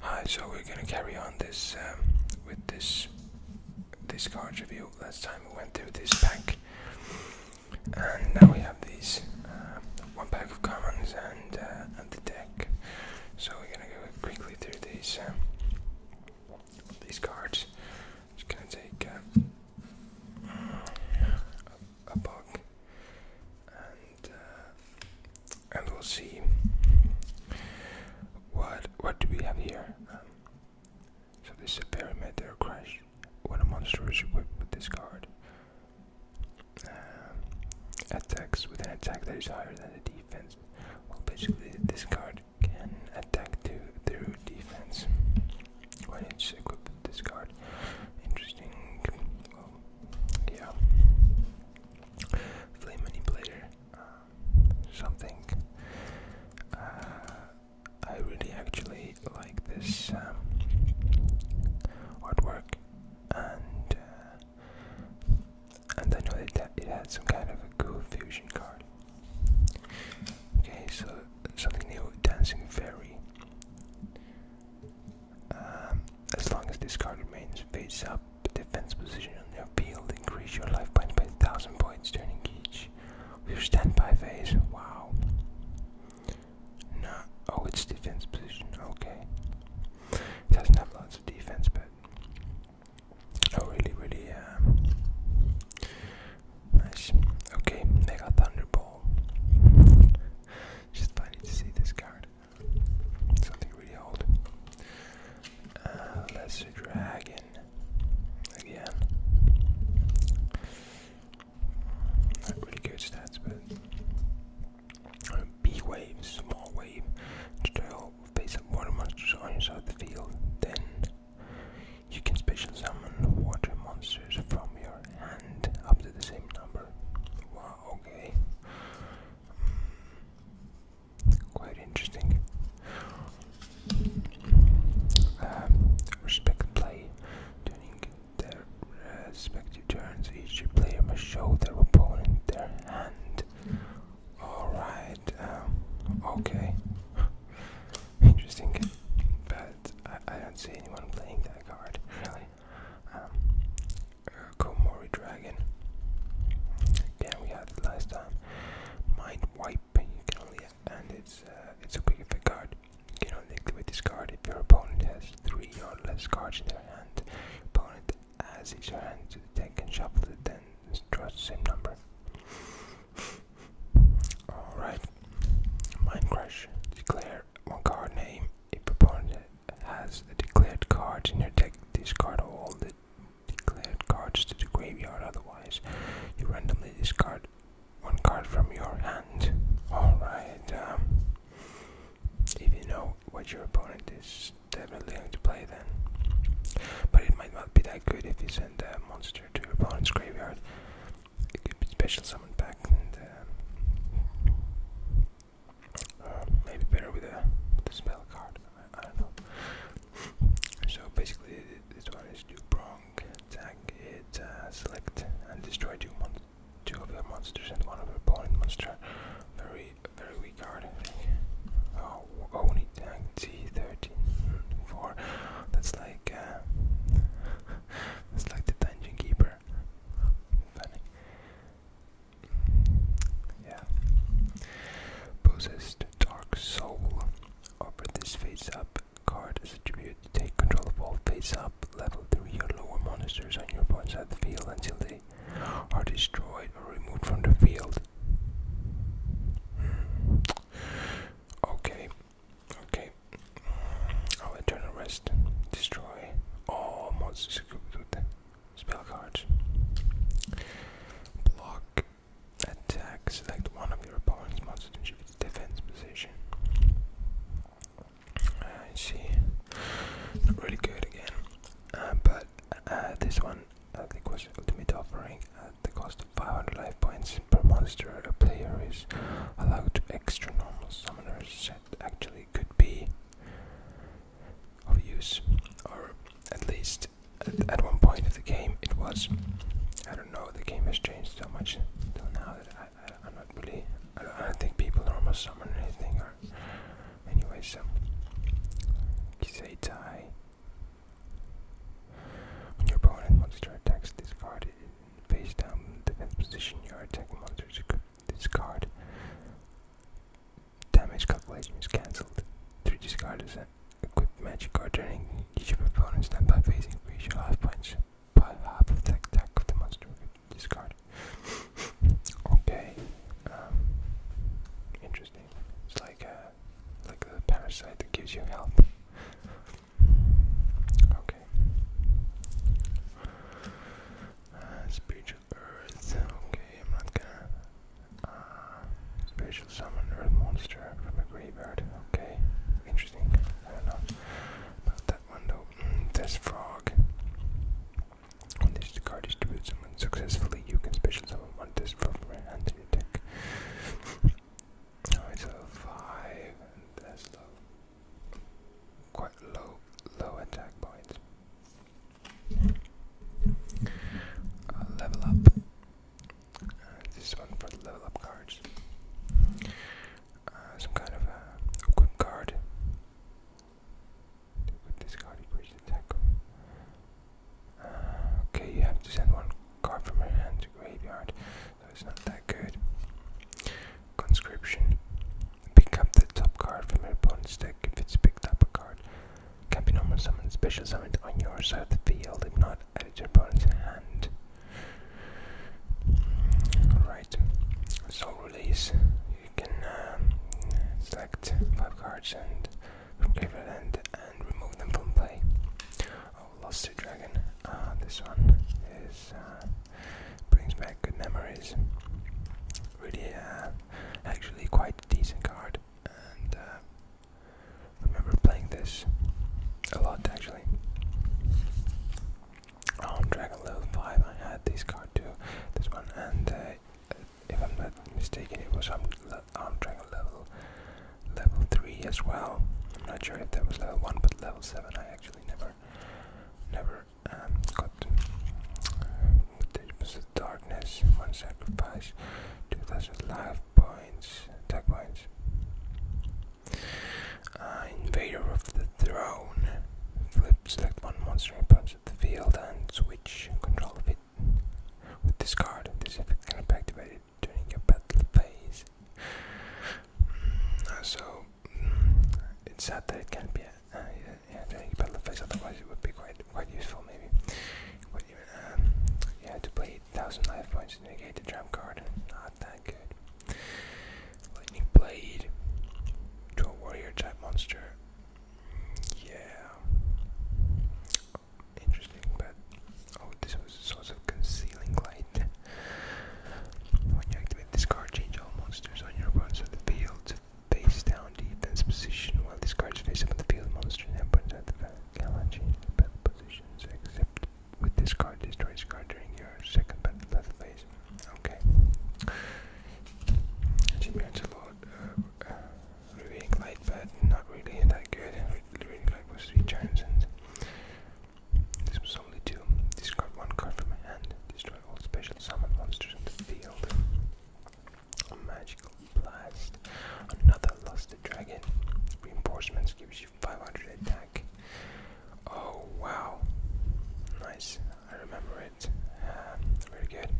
Hi, so we're gonna carry on this um, with this this card review. Last time we went through this pack, and now we have these uh, one pack of cards and uh, and the deck. So we're gonna go quickly through these um, these cards. just gonna take um, a, book uh, and we'll see what what do we have here. Um, so this is a perimeter crash. When a monster is equipped with this card, um, attacks with an attack that is higher than the defense. Well, basically, this card can attack to through defense when it's equipped with this card. Interesting yeah, flame manipulator, um, something. Uh, I really actually like this um, artwork, and uh, and I know that it had some kind of a cool fusion card. Okay, so something new, dancing fairy. Um, as long as this card remains face up, defense position on your field, increase your life points by 1000 points during each of your standby phase. Wow. No. Oh, it's defense position. Okay. It doesn't have lots of defense, but. Oh, really, really, um. Nice. Okay, Mega Thunderball. Just funny to see this card. Something really old. Uh, Lesser Dragon. Again. Not really good stats, but. B wave, small wave. Trail face up water monsters on your side the field. Then you can special summon water monsters from your hand up to the same number. Wow okay. Quite interesting. Um, respect play. During their uh, respective turns, each player must show their opponent their hand. Alright, um, okay. Interesting. But I don't see anyone playing that card, really um, Dragon. Again, we had last time. Mind you can only, and it's uh, it's a quick effect card. You can only activate this card if your opponent has three or less cards in their hand. opponent adds each hand to the shuffle it, then draws the same number. Alright, Mind Declare one card name a opponent has declared cards in your deck, discard all the declared cards to the graveyard. Otherwise, you randomly discard one card from your hand. Alright, um, if you know what your opponent is definitely going to play, then. But it might not be that good if you send a monster to your opponent's graveyard. It could be special uh, maybe better with a, spell card. I, don't know. So basically, this one is do prong attack. It uh, select and destroy two of your monsters and one of your opponent monster. Very very weak card. I think. Oh, only tank T thirteen hmm, four. That's like uh, that's like the dungeon keeper there. Dark Soul. Offer this face up card as a tribute to take control of all face up level 3 or lower monsters on your opponent's field until they are destroyed or removed from the field. Hmm. Okay. Okay, Anyway, i oh, eternal rest. Destroy all monsters equipped with spell cards. Block. Attack. Select one of your opponent's monsters to achieve its defense position. I see. Not really good again. Uh, but uh, this one, I think, was ultimate offering at the cost of 500 life points per monster. A player is allowed to extra normal summoners actually could be of use, or at least at, one point of the game it was. I don't know. The game has changed so much till now that I, I, am not really. I don't, think people normally summon anything. Or anyway, um, so Kiseitai. When your opponent monster attacks this card in face down defense position, your attacking monster discard. Damage calculation is cancelled. 3 discard is an equipped magic card, turning each opponent's stand by facing reach half points by half the attack of the monster discard. okay. Um, interesting. It's like a, uh, like a parasite that gives you health. Okay. Okay. Uh, spiritual Earth. Okay, I'm not gonna. Uh, spiritual summon Earth monster from a graveyard. Okay, interesting. I not that one though. Mm, frog. When this card distributes someone successfully, you can special summon one test from hand in your deck. 5, quite low low attack points. Uh, level up. Uh, this one for the level up cards. Uh, some kind of equip card. With this card increase attack. okay, you have to send one card from your hand to graveyard. That's not that good. Conscription. Pick the top card from your opponent's deck if it's picked up a card. Can be normal special summoned on your side of the field, if not, add it your opponent's hand. Alright, so release. You can um, select 5 cards and from graveyard and remove them from play. Oh, lost to dragon. Uh, this one is uh, brings back good memories. Really, uh, actually, quite decent card, and uh, remember playing this a lot actually. On oh, Dragon Level 5, I had this card too, this one, and uh, if I'm not mistaken, it was on, Dragon Level level 3 as well. I'm not sure if that was level 1, but level 7 I actually never never um, the darkness, one sacrifice, 2000 life points, attack points. Uh, invader of the throne, flip, select one monster opponent at the field and switch control of it with this card. This effect can be activated during your battle phase. Mm, so it's sad that it can't be a, uh, yeah, yeah, but the face otherwise it would be quite quite useful maybe. But um, yeah, to play 1000 life points to negate the tram card, not that good. Lightning Blade to a warrior type monster. Yeah, interesting, but oh, this was a source of concealing light. When you activate this card, change all monsters on your opponent's field to face down defense position while this card is face up on the field. Monster and opponent's side of the cannot change their positions except with this card. Destroy this card during your second battle phase. Okay. Champions a lot. Uh, uh, revealing Light, but not really that good. Revealing Light was turns and this was only two. Discard one card from my hand. Destroy all special summon monsters in the field. A magical blast. Another lusted dragon. Reinforcements gives you 500 attack. Oh wow. Nice. I remember it. Um, very good.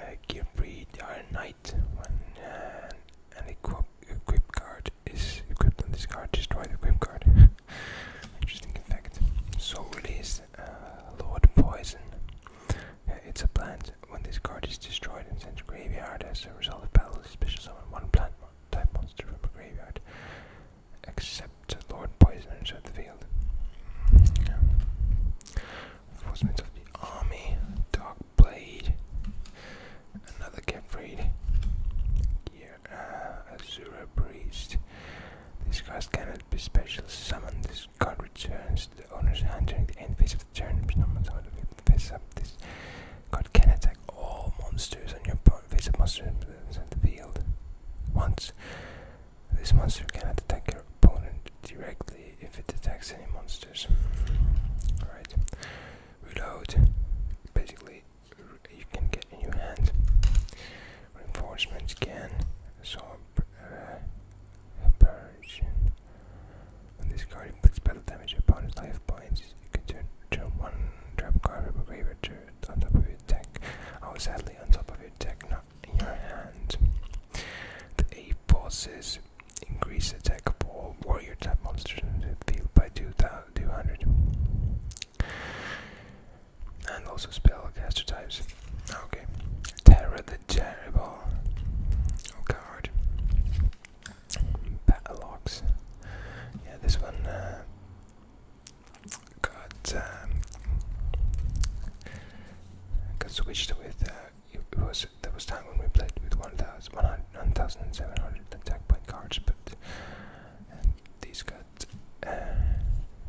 Uh, Gearbreed our Knight. When uh, an equip, equip card is equipped on this card, destroy the equip card. Interesting effect. Soul Release, uh, Lord Poison. Uh, it's a plant. When this card is destroyed and sent to graveyard as a result of battle, special summon one plant type monster from a graveyard. Except Lord Poison inside the field. Enforcement of the Army, Dark Blade, another Get uh, Azura Priest. This card cannot be special summoned. This card returns to the owner's hand during the end phase of the turn. If someone to face up. This card can attack all monsters on your face in the field once. This monster cannot attack your opponent directly if it attacks any monsters. Alright. Reload. Basically you can get in your hand. Reinforcements can absorb uh, persian. When this card inflicts battle damage upon its life points, you can turn, turn one trap card from a graveyard to on top of your deck. Oh, sadly, on top of your deck, not in your hand. The A forces increase attack for warrior type monsters in the field by two thousand two hundred. And also spellcaster types. Okay. Terra the Terrible. Oh god. Battleox. Yeah, this one uh, got um, got switched with. Uh, it was there was time when we played with 1,700 attack point cards, but these got uh,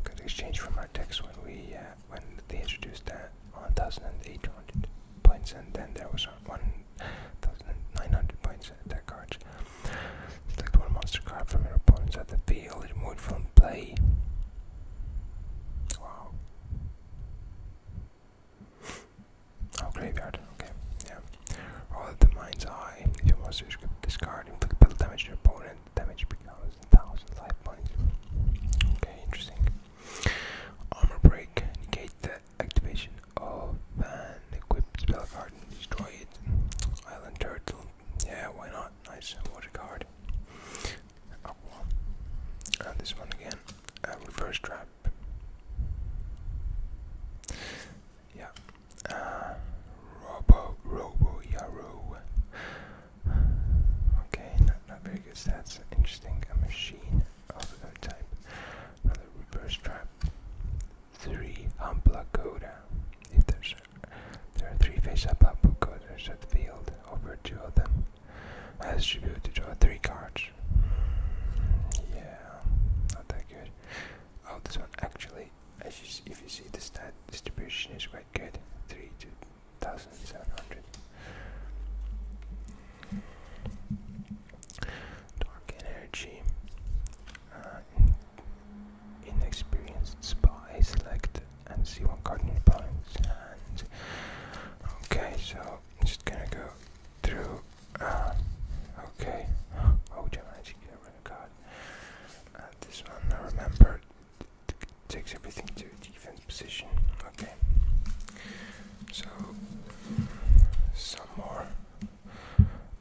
got exchanged from our text when we uh, when they introduced that 1,800 points, and then there was 1,900 points that card. Select one monster card from your opponent's at the field, removed from play. Wow. Oh, graveyard. Okay, yeah. All at the mind's eye. If you want to discard, inflict battle damage to your opponent. damage becomes 1000 life points. Okay, interesting. Armor break. Negate the activation of an equipped spell card and destroy it. Island turtle. Yeah, why not? Nice. Water card. this one again. reverse trap. Yeah, uh, Robo, Yaru. Okay, not, not very good stats. Interesting. A machine of another type. Another reverse trap. Three Amplacoda. If there's there are three face-up Amplacodas at the field, over two of them. I As able to draw three cards. Hmm, yeah, not that good. Oh, this one actually as you see, if you see the stat distribution is quite good 3 to 1700 dark energy uh, inexperienced spy select and see one card in okay so just gonna go through uh, okay oh Gemini camera Oh, god. Uh, this one, I remember, takes everything to defense position. Okay. So, some more.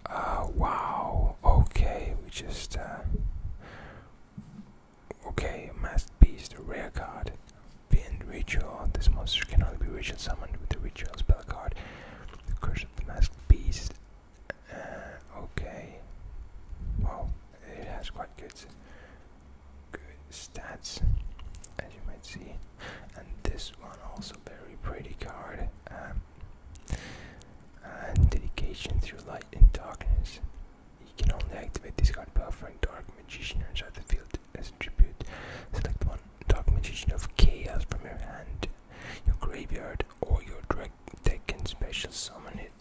Uh, wow. Okay, we just. Uh, okay, masked beast, rare card. Bend ritual. This monster can only be ritual summoned with the ritual spell card. curse of the masked beast. Uh, okay. Wow, it has quite good, good stats, as you might see. And this one also very pretty card. Um, and dedication through light and darkness. You can only activate this card by offering Dark Magician inside the field as a tribute. Select one Dark Magician of Chaos from your hand your graveyard, or your drag deck can special summon it.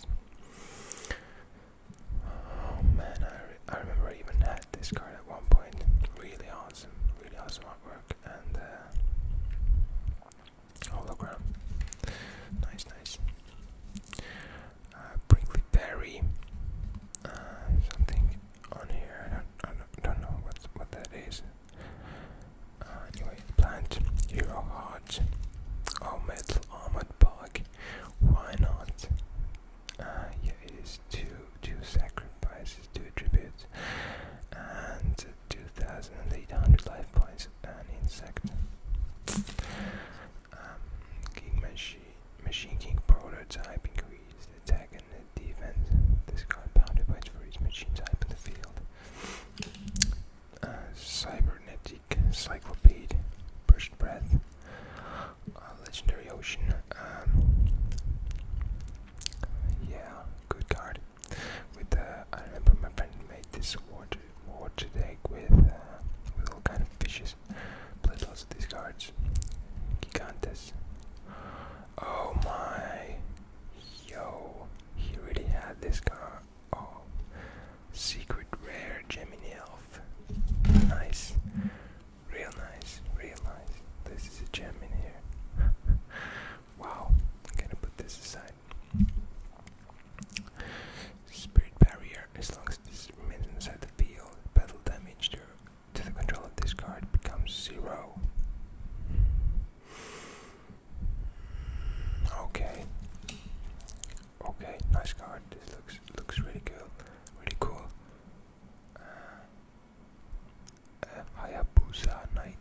Oh man, I, I remember I even had this card at one point. Really awesome, really awesome artwork and uh, hologram. Nice, nice. Uh, Prickly uh, something on here. I don't don't know what's, what that is. Uh, anyway, plant hero heart or armored bug. Why not? Uh, yeah, it is two two sacrifices, two tributes, and 2,800 life points. An insect. Um, machine, machine King prototype increased attack defense. This card pounded by for each machine type in the field. Uh, cybernetic Cyclopede, Burst Breath, uh, Legendary Ocean. Um, yeah, good card. With uh, I remember my friend made this water water today with uh, with all kind of fishes. Played lots of these cards. Gigantes. Oh my! Yo, he really had this car. Oh, secret rare Gemini Elf. Nice. Real nice, real nice. This is a gem in here. wow, gonna put this aside. Spirit barrier, as long as this remains inside the field, battle damage to, to the control of this card becomes zero. Okay. Okay, nice card. This looks looks really cool. Really cool. Uh, uh, Hayabusa Knight.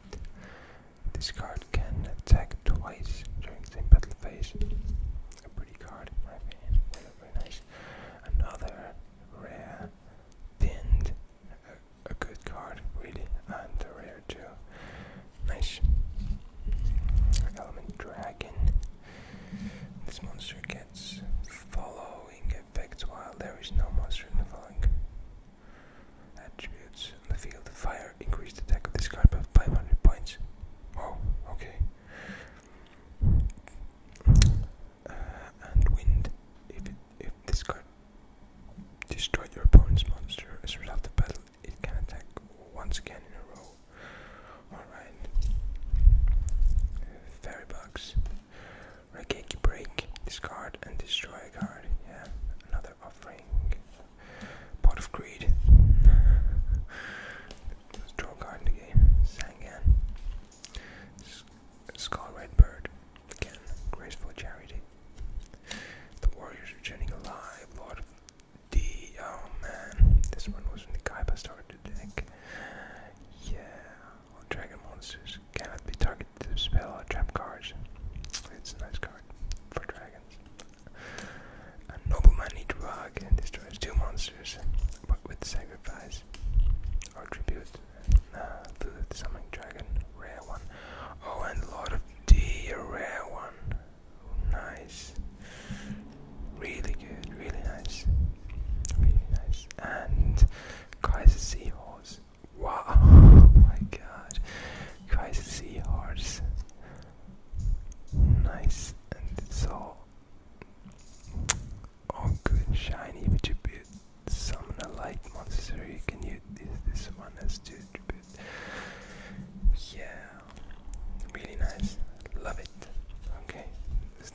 This card can attack twice during the same battle phase. A pretty card, in my opinion. Very, nice. Another rare pinned uh, a good card, really, and the rare too. Nice. Element Dragon. This monster gets following effects while there is no monster in the following attributes on the field. Fire increased attack this card by 500 points. Oh, okay. Uh, and wind. If if this card Destroy your opponent's monster. As a result of battle, it can attack once again in a row. Alright. Fairy Bugs. Rakeki Break. Discard and destroy a card. Yeah, another offering. Pot of Greed. draw a card in the Skull Redbird, again, graceful charity. The warriors are alive, Lord of the oh man, this one was when the Kaiba started to think. Yeah, dragon monsters cannot be targeted to spell or trap cards. It's a nice card for dragons. A nobleman eats rug and destroys two monsters, but with sacrifice or tribute. Uh, the summoning dragon, rare one. Oh, and Lord of D, a rare one. nice. Really good, really nice. Really nice. And Kaiser Seahorse. Wow, oh my god. Kaiser Seahorse. Nice. And so all oh, good, shiny, which a bit summon a light monster, you can use this one as to attribute. Yeah, really nice. Love it. Okay,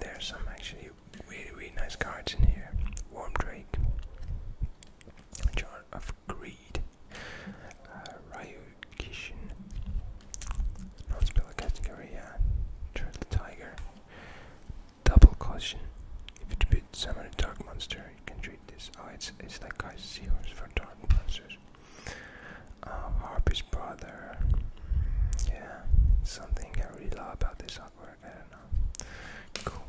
there are some actually really, really nice cards in here. Warm Drake, Jar of Greed, uh, Ryu Kishin, non-spell category, yeah, Tiger, Double question. If you tribute summon a dark monster, you can treat this. Oh, it's, it's like I see for dark monsters. Uh, Harpy's brother. Yeah, something I really love about this artwork. I don't know. Cool.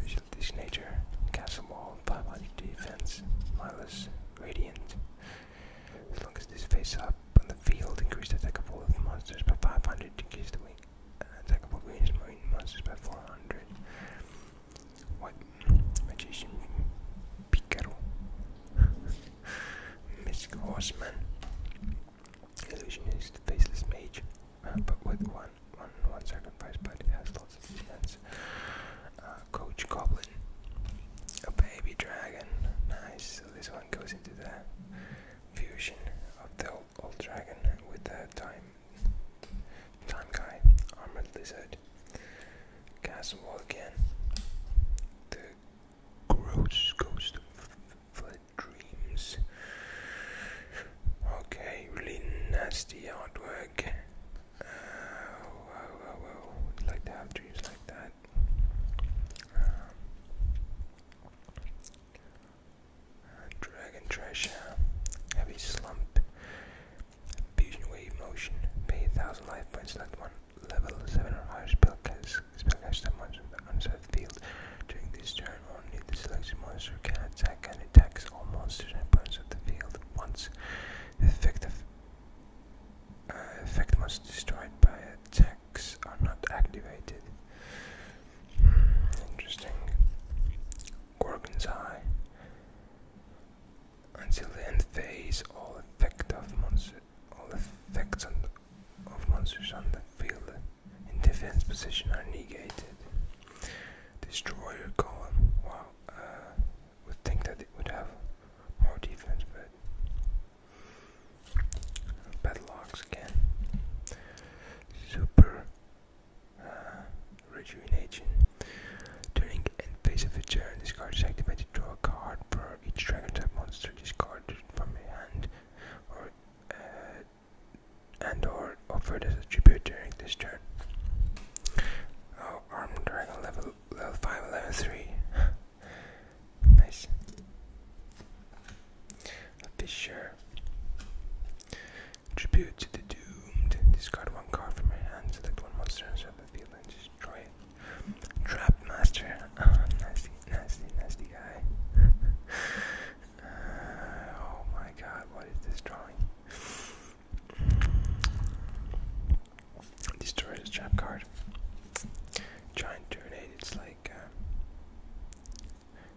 Visual this nature. Castle wall, 500 defense, Milo's radiant. As long as this face up on the field, increase the attack of all of monsters by 500, increase the wing. A attackable green is marine monsters by 400. What? Magician Picaro. Mystic Horseman. Illusionist, Faceless Mage. Uh, but with one, one, one sacrifice, but it has lots of defense. Uh, Coach Goblin. A baby dragon. Nice. So this one goes into the fusion of the Old Dragon with the time time guy, Armored Lizard. Castle again. The gross ghost flood dreams. Okay, really nasty artwork. Uh, whoa, whoa, whoa. would like to have dreams like that. Um, uh, Dragon Treasure, Heavy Slump, Fusion Wave Motion, pay 1000 life points, select one level 7 or higher spell cast, spell cast that monster on the unset field. During this turn, only the selected monster can attack and attacks all monsters on opponents of the field once. The effect, of, uh, effect monsters destroyed by attacks are not activated. Interesting. Gorgon's Eye. Until the end phase, all effect of monster, all effects of monsters on the field in defense position are negated. Destroyer column. Wow, uh, would think that it would have more defense, but padlocks again. Super uh, rejuvenation. Turning and face of the turn, this card is activated. Draw a card for each dragon type monster discarded from my hand, or uh, and or offered as a tribute during this turn. Oh, armed dragon level level five, level three. nice a Fisher. Tribute to the Doomed. Discard one card from your hand, select one monster and serve the field and destroy it. Trap Master. Ah, nasty, nasty, nasty guy. Uh, oh my god, what is this drawing? Destroy this trap card. Giant Tornado, it's like. Uh,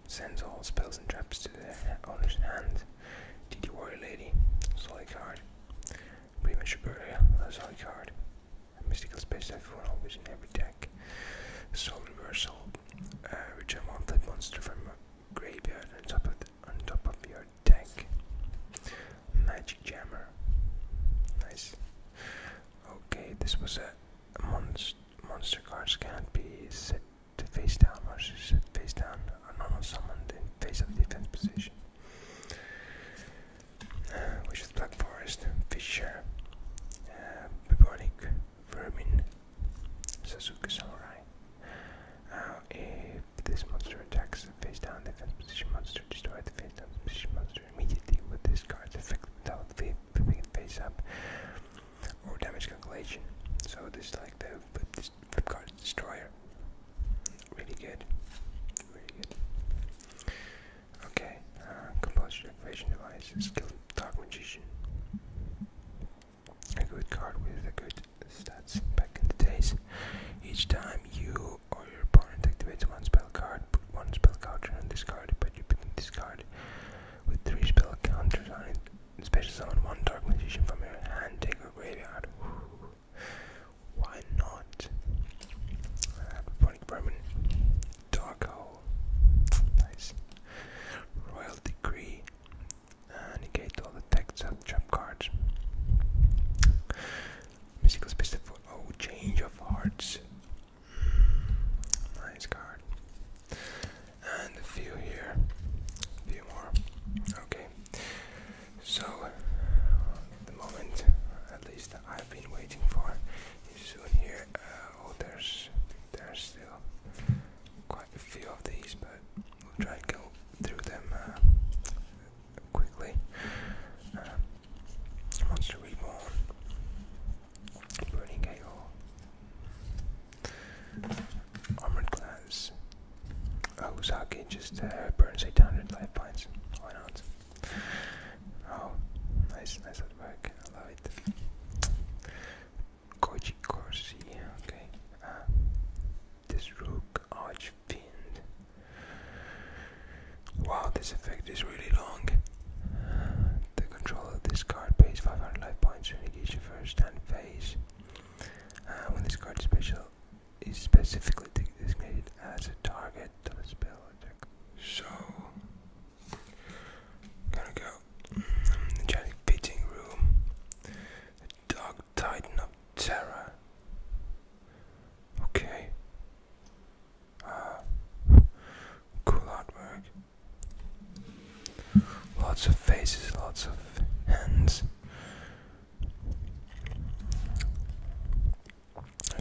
sends all spells and traps to the owner's hand. Did you Warrior lady? Solid card. Premature burial, a solid card. mystical space typhoon always in every deck. Soul reversal. Uh, return one flip monster from a graveyard on top of on top of your deck. Magic jammer. Nice. Okay, this was a monster monster cards can't be set to face down. or set face down are summoned in face of defense position. Uh, which is Black Forest, Fisher, uh, Bubonic, Sasuke Samurai. if this monster attacks face down defense position monster, destroy face down position monster immediately with this card's effect without flipping it face up, or damage calculation. So this is like the flip, flip card destroyer. Really good, really good. Okay, uh, activation device, skilled dark magician. A good card with a good stats back in the days. Each time you or your opponent activates one spell card, put one spell card on this card, but you put it in this card with three spell counters on it. Special summon one Dark Magician from your hand, take or graveyard. Ooh. Why not? Ponic Dark Hole, nice. Royal Decree, negate all the text and trap cards. Mystical Space for oh, Change of Hearts. Nice card. And a few here. A few more. Okay. So, the moment, at least I've been waiting for, is soon here. Uh, oh, there's, there's still quite a few of these, but we'll try and go through them uh, quickly. Uh, monster Reborn. Burning AO. Armored Glance. Osaki just burns 800 life points. Why not? Oh, nice, nice artwork. I love it. Koji Corsi, okay. Ah, this Rook Archfiend. Wow, this effect is really long. The control of this card pays 500 life points when it your first hand phase. Uh, when this card is special, is specifically designated as a target of a spell attack. So, gonna go. the giant Pitting Room, the Dark Titan up Terror. Okay. cool artwork. Lots of faces, lots of hands.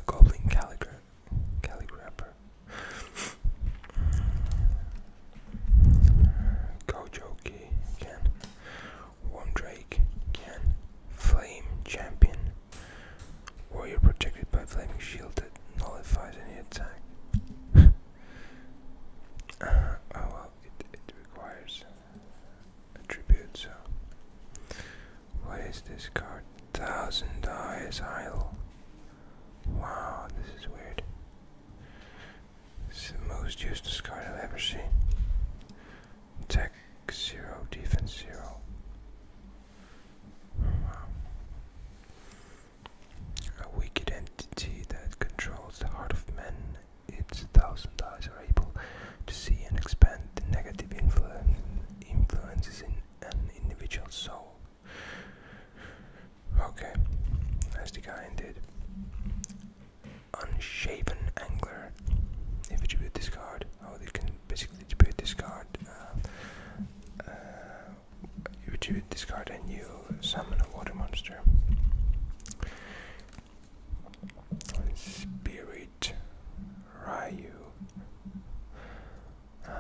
goblin calligra calligrapher. Gojoki again. One Drake again. Flame champion. Warrior protected by flaming shielded nullifies any attack. Uh, oh well, it, it requires tribute, so. What is this card? Thousand Eyes Idol. Wow, this is weird. It's the most useless card I've ever seen. Tech 0, defense 0. Wow. A wicked entity that controls the heart of men, its thousand eyes are able to see and expand the negative influence, influences in an individual soul. Okay, as the guy ended. Unshaven Angler. If you tribute this card, oh, they can basically tribute this card. Uh, uh, which you discard and you summon a water monster. Spirit Ryu. Uh,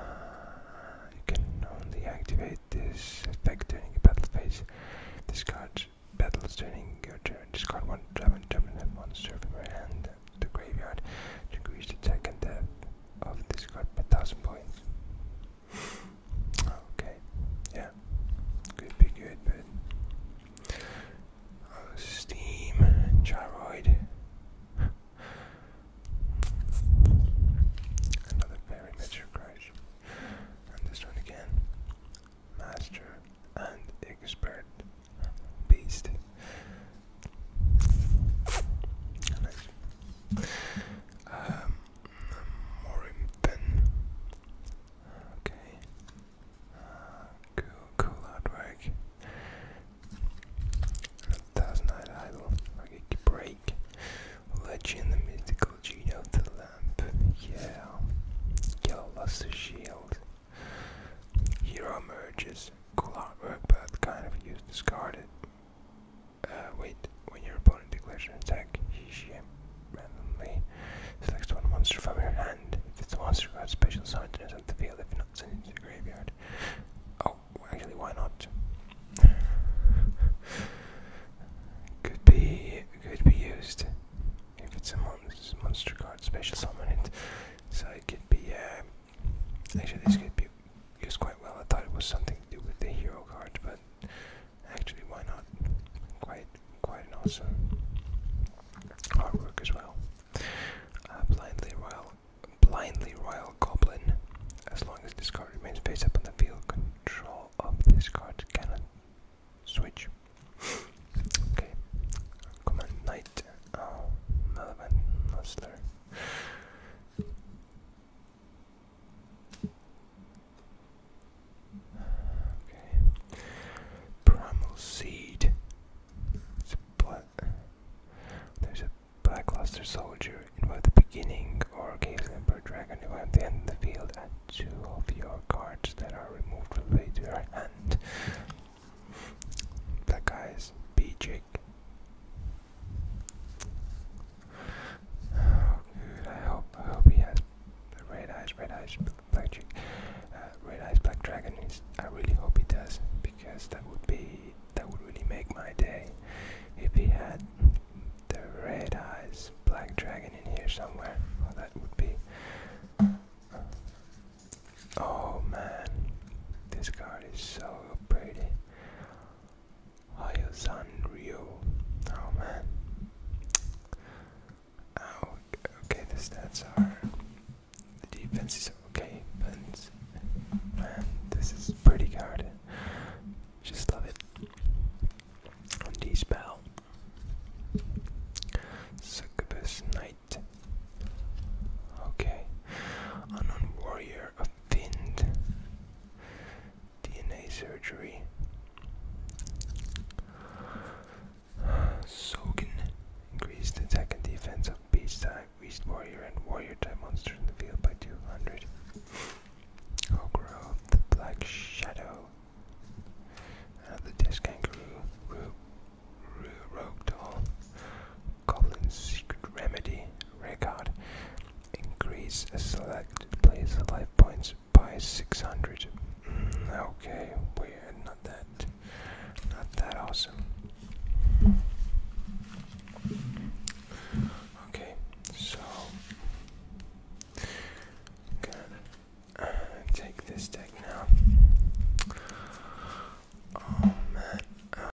you can only activate this effect during a battle phase. Discard battles during your turn. Discard one Draven dominant monster from your hand to graveyard to increase attack and death of this card by 1000 points. Okay, yeah, could be good, Steam, Gyroid. Another very crash. And this one again. Master and Expert Beast. Nice. Um, Okay. cool, cool artwork. thousand eyed idol. Okay, break. Legend, the mythical genie of the lamp. Yeah. Yellow Shield. Hero emerges. Cool artwork, but kind of used discarded. Uh, wait, when your opponent declares an attack, he randomly select one monster from your hand. If it's a monster card, special summon it on the field, if not, send it to the graveyard. Oh, actually, why not? could be could be used if it's a monster card, special summon it. So it could be uh, Actually, this could be used quite well. I thought it was something to do with the hero cards, but actually, why not? Quite, quite an awesome artwork as well. Uh, blindly royal, blindly royal goblin. As long as this card remains face up on the field, control of this card cannot switch. okay, come knight. Oh, Malevan Musler. Okay. It's a black, there's a Blackluster Soldier in both the beginning or occasionally per dragon to at the end of the field and two of your cards that are removed from the way to your hand. Black Eyes, Bejic, I hope, he has red eyes, red eyes, black chick, uh, red eyes, black dragon. Is, I really hope he does because that would be that would really make my day if he had the red eyes, black dragon in here somewhere. that would be. Oh man, this card is so pretty. Ryu. Oh man. Ow. Okay, the stats are. The defense is okay, but. Man, this is pretty hard. Just love it. On D spell. Succubus Knight. Okay. Unknown Warrior of Thinned DNA surgery. Sogan increased attack and defense of beast beast warrior, and warrior type monsters in the field by 200. Ogroth, the black shadow, uh, the disc kangaroo, Rogue Doll, Goblin's secret remedy, record. Increase select place life points by 600. Mm, okay, we not that, not that awesome. Okay, so uh, take this deck now. Oh man.